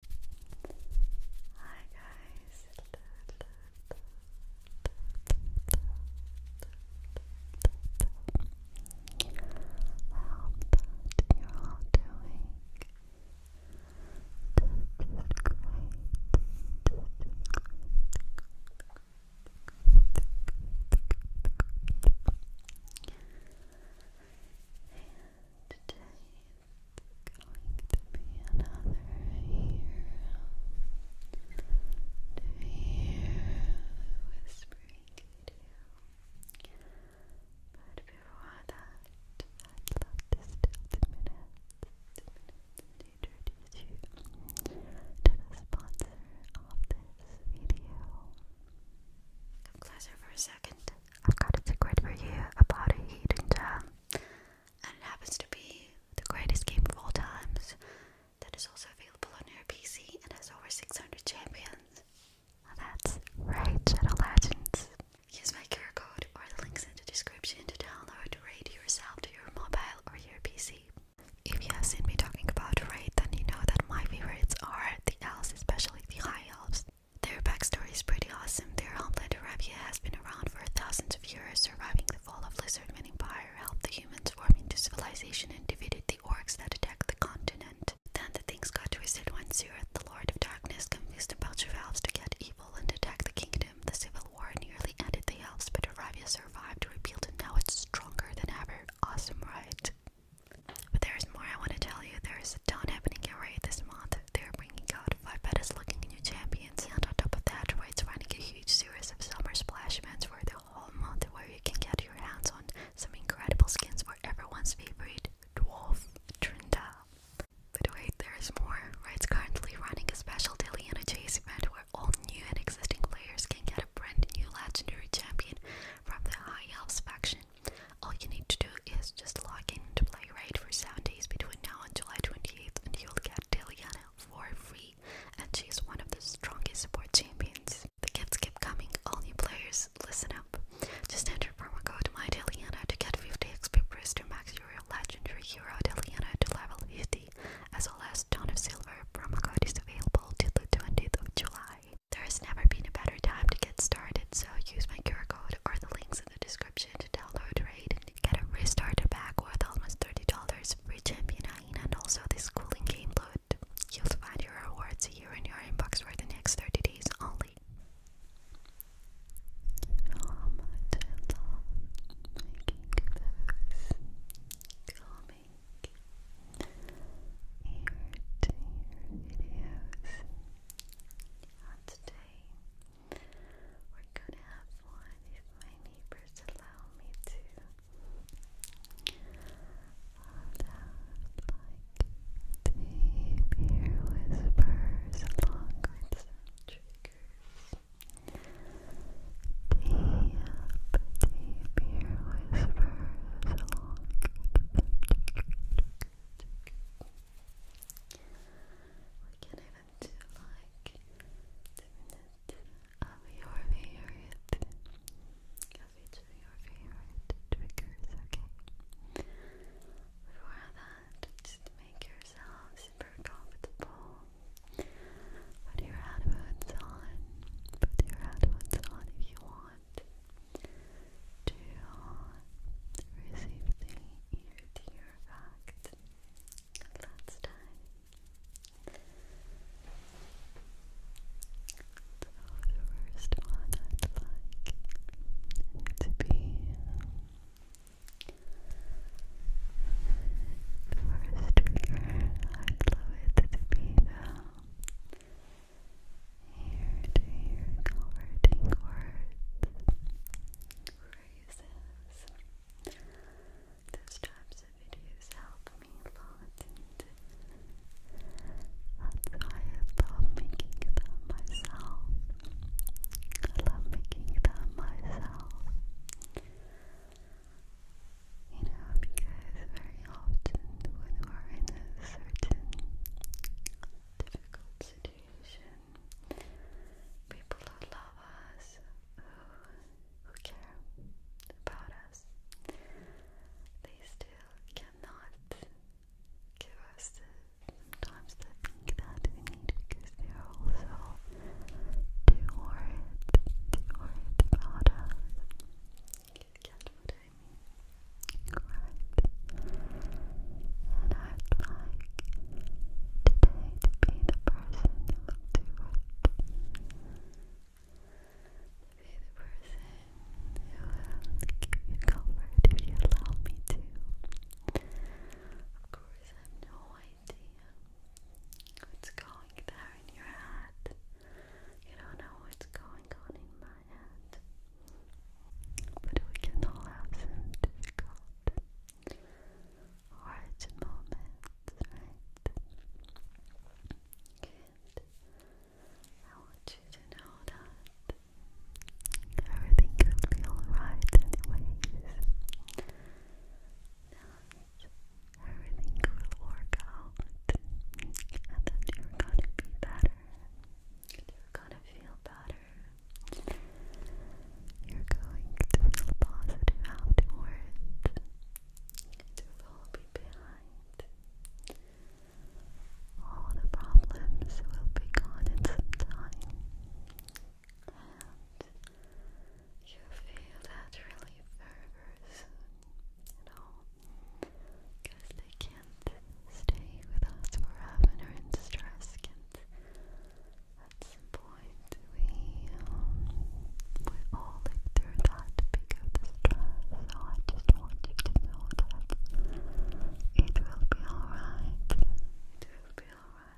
Hi guys. I hope you all doing to be another year to hear whispering But before that, I'd love to steal two minutes, to introduce you to the sponsor of this video. Come closer for a second. I've got a secret for you about a hidden gem, um, and it happens to be the greatest game of all times that is also available on your PC and has over 600 champions. that's right, Shadow Legends. Use my QR code or the links in the description to download Raid yourself to your mobile or your PC. If you have seen me talking about Raid, then you know that my favorites are the elves, especially the high elves. Their backstory is pretty awesome. Their homeland Arabia has been around for thousands of years, surviving the fall of Lizardman Empire, helped the humans form into civilization, and defeated the orcs that attacked the continent. Then the things got twisted when Sirith, the Lord of Darkness, confused a bunch of elves to get evil and attack the kingdom. The civil war nearly ended the elves, but Arabia survived, rebuilt, and now it's stronger than ever. Awesome, right? But there is more I want to tell you. There is a ton happening already this month. They are bringing out five baddest looking new champions, and on top of that, Riot's running a huge series of summer splash events for the whole month, where you can get your hands on some incredible skins for everyone's favorite dwarf Trinda. But wait, there is more. Riot's currently running a special daily a chase event where all new and existing players can get a brand new legendary champion from the High Elves faction all you need to do is just log in to Playwright for 7 days between now and July 28th and you'll get Deliana for free and she's one of the strongest support champions. The gifts keep coming, all new players, listen up. Just enter promo code MyDeliana to get 50 XP boost to max your legendary hero Deliana to level 50 as well as ton of Silver. Promo code is available till the 20th of July. There has never been a better time to get started, so use my cure code or the links in the description to download Raid and get a restarter pack worth almost $30 for champion hyena and also this cooling game load. You'll find your rewards here in your inbox for the next 30 days only. And today we're gonna have one if my neighbors allow me to. like to hear whispers along with some triggers. Deep, deep ear whispers along with some triggers. We can even do like of your favorite of your favorite triggers, okay? Before that, just make yourself super comfortable. Put your headphones on. Put your headphones on if you want to receive the ear to last time. the first one like to be the first trigger. I'd love it to be the ear to ear converting words, phrases. Those types of videos help me a lot, and that's why I making them myself. I love making them myself. You know, because very often when we're in a certain difficult situation. People that love us, who, who care about us, they still cannot give us the sometimes that we need because they are also too worried, too worried about us you And I'd like to be the person you the person who will give you comfort if you allow me to. Of course, I have no idea what's going there in your head. You don't know what's going on in my it. But we can all have some difficult, hard moments, right? I want you to know that everything could be alright anyways. That everything will work out and that are gonna be better gonna feel better. You're going to feel positive afterwards. It will be behind. All the problems will be gone in some time. And you feel that relief very, very because they can't stay with us forever in distress. at some point we um, we all live through that big of distress. So I just want you to know that it will be alright. It will be alright,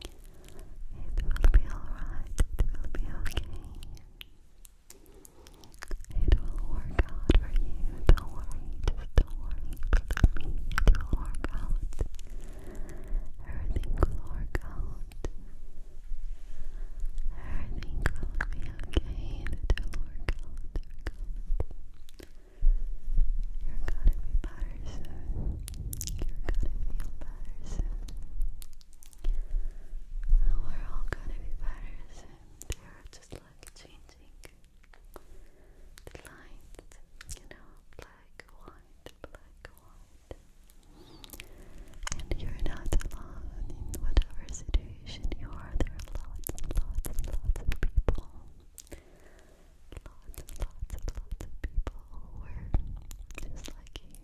It will be alright, it will be okay. It will work out for you. Don't worry, don't worry. it will work out. Everything will work out. Everything will be okay. It will work out. You're gonna be better soon. You're gonna feel better soon. we're all gonna be better soon. There, just like changing the light, you know, black, white, black, white. And you're not alone in whatever situation you are. There are lots and lots and lots of people. Lots and lots and lots of people who are just like you.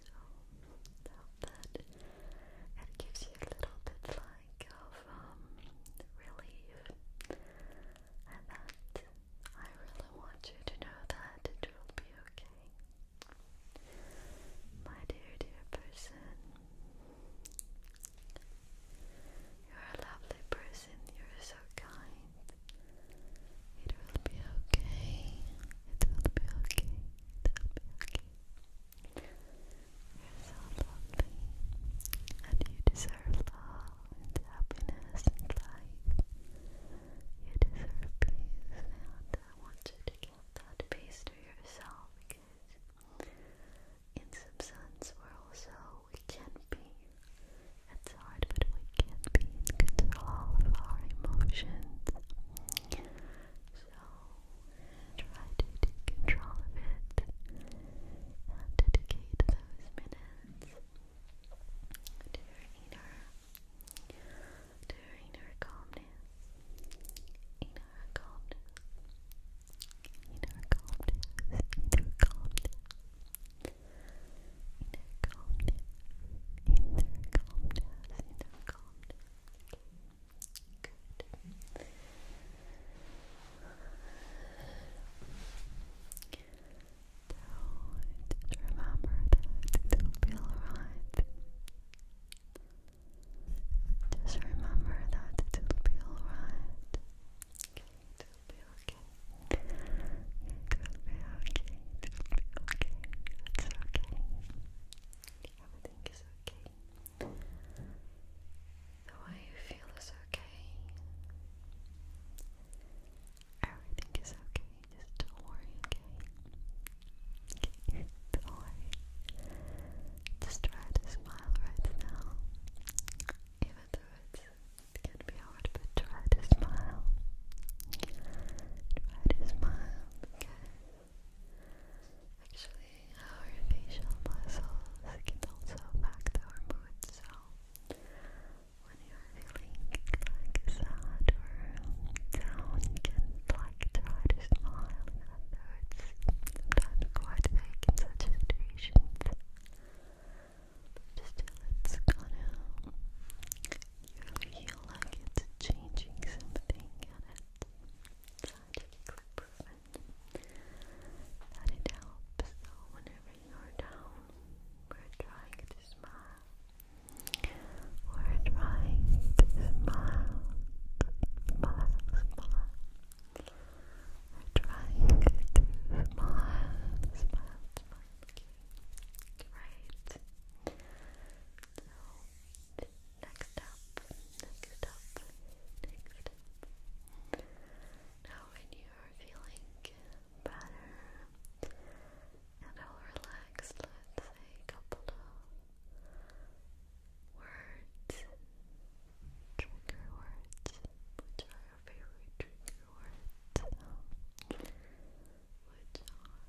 So, that it gives you a little bit light of um, relief, and that I really want you to know that it will be okay. My dear, dear person, you're a lovely person, you're so kind. It will be okay, it will be okay, it will be okay. You're so lovely, and you deserve love and happiness and life. You deserve peace, and I want you to give that peace to yourself because, in some sense, we're also we can be. It's hard, but we can be in control of our emotions. So try to take control of it dedicate those minutes to your inner, to your inner calmness, inner calmness, inner calmness, inner calmness, inner calmness, inner calmness, inner calmness. Good. So just remember that it'll be alright. Just remember that it'll be alright. it'll be okay. It'll be okay. It'll be okay. It's okay. Everything is okay. The way you feel is okay. Everything is okay. Just don't worry, don't Just try to smile right now. Even though it's, it can be hard, but try to smile. Try to smile, okay? Actually, our facial muscles can also affect our mood, so when you're feeling like sad or down, you can try to smile, and that's sometimes quite fake in such situations. But still, it's gonna really feel like changing something in it strategic improvement that it helps. So whenever you're down, we're trying to smile. We're trying to smile, smile, smile. We're trying to smile, smile, smile. great. Next up, next up, next Now, when you are feeling better and all relaxed, let's say a couple of words, trigger words, which are your favorite trigger words, which are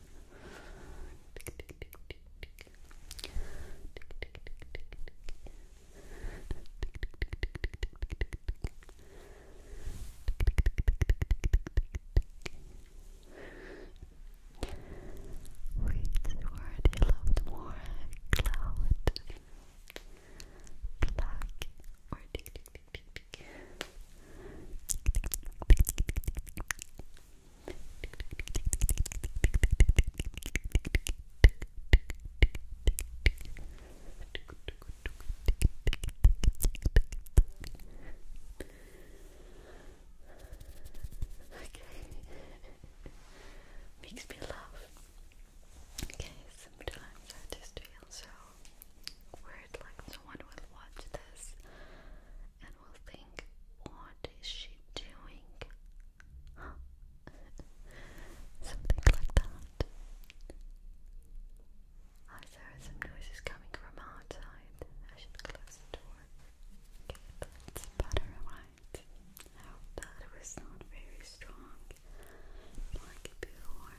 Reads word you loved more, cloud, black, or Makes me laugh. Okay, sometimes I just feel so weird, like someone will watch this and will think, What is she doing? Something like that. Ah, oh, some noises coming from outside. I should close the door. Okay, that's better, right? I hope that was not very strong. Like before.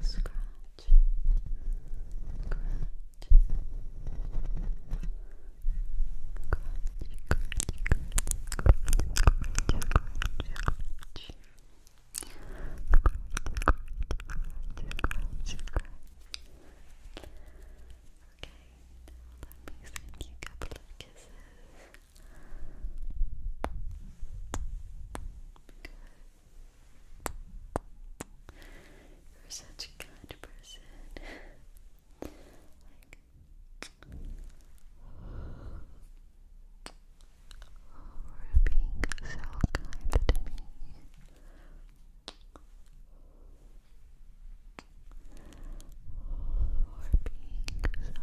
Scratch. Scratch. Okay, now let me send you a couple of kisses. You're such a kind person. like, you being so kind to me. Or being so, so kind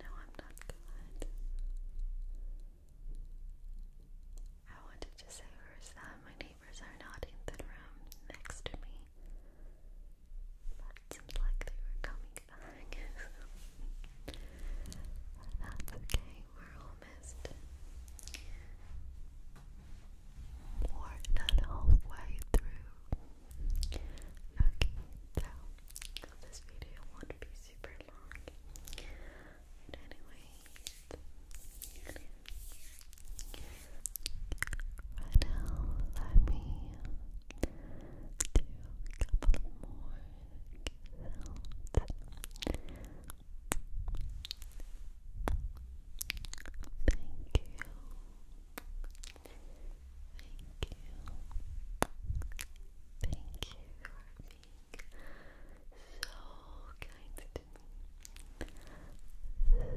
no, I'm not good. I wanted to say first that my neighbors are not in the room next to me. But it seems like they were coming back. That's okay, we're all more than halfway through. Okay, so this video won't be super long. But anyways, right now let me do a couple more Thank you Thank you. Thank you for being so kind to me. So kind. So kind.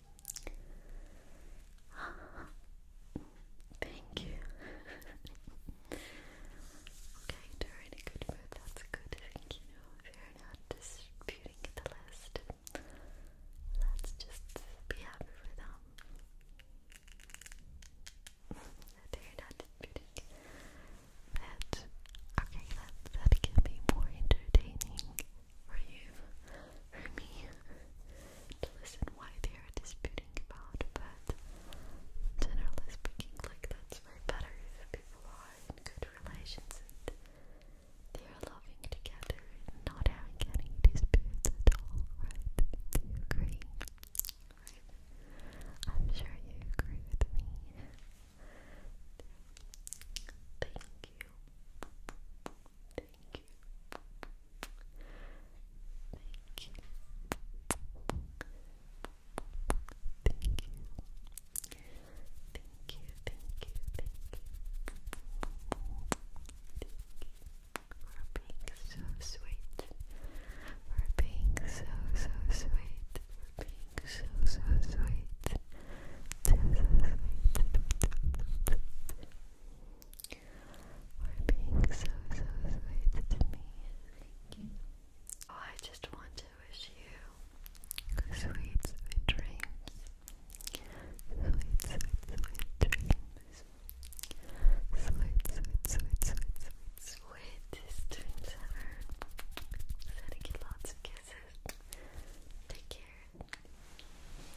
Thank you. okay, you good That's good. Thank you. If you're not disputing the list, let's just be happy for them. they're not disputing that. Okay, that that can be more entertaining for you, for me to listen why they are disputing about, but generally speaking, like that's way better people are in good relations and they are loving together not having any disputes at all, right? Do you agree? Right? I'm sure you agree with me. Thank you. Thank you. Thank you. Thank you. Thank you, thank you, thank you. Thank you for being so sweet. For being so, so sweet. For being so, so sweet. so sweet for being so, so sweet to me. I just want to wish you sweet, sweet dreams. Sweet, sweet, sweet dreams. Sweet, sweet, sweet, sweet, sweetest dreams ever. Sending you lots of kisses. Take care.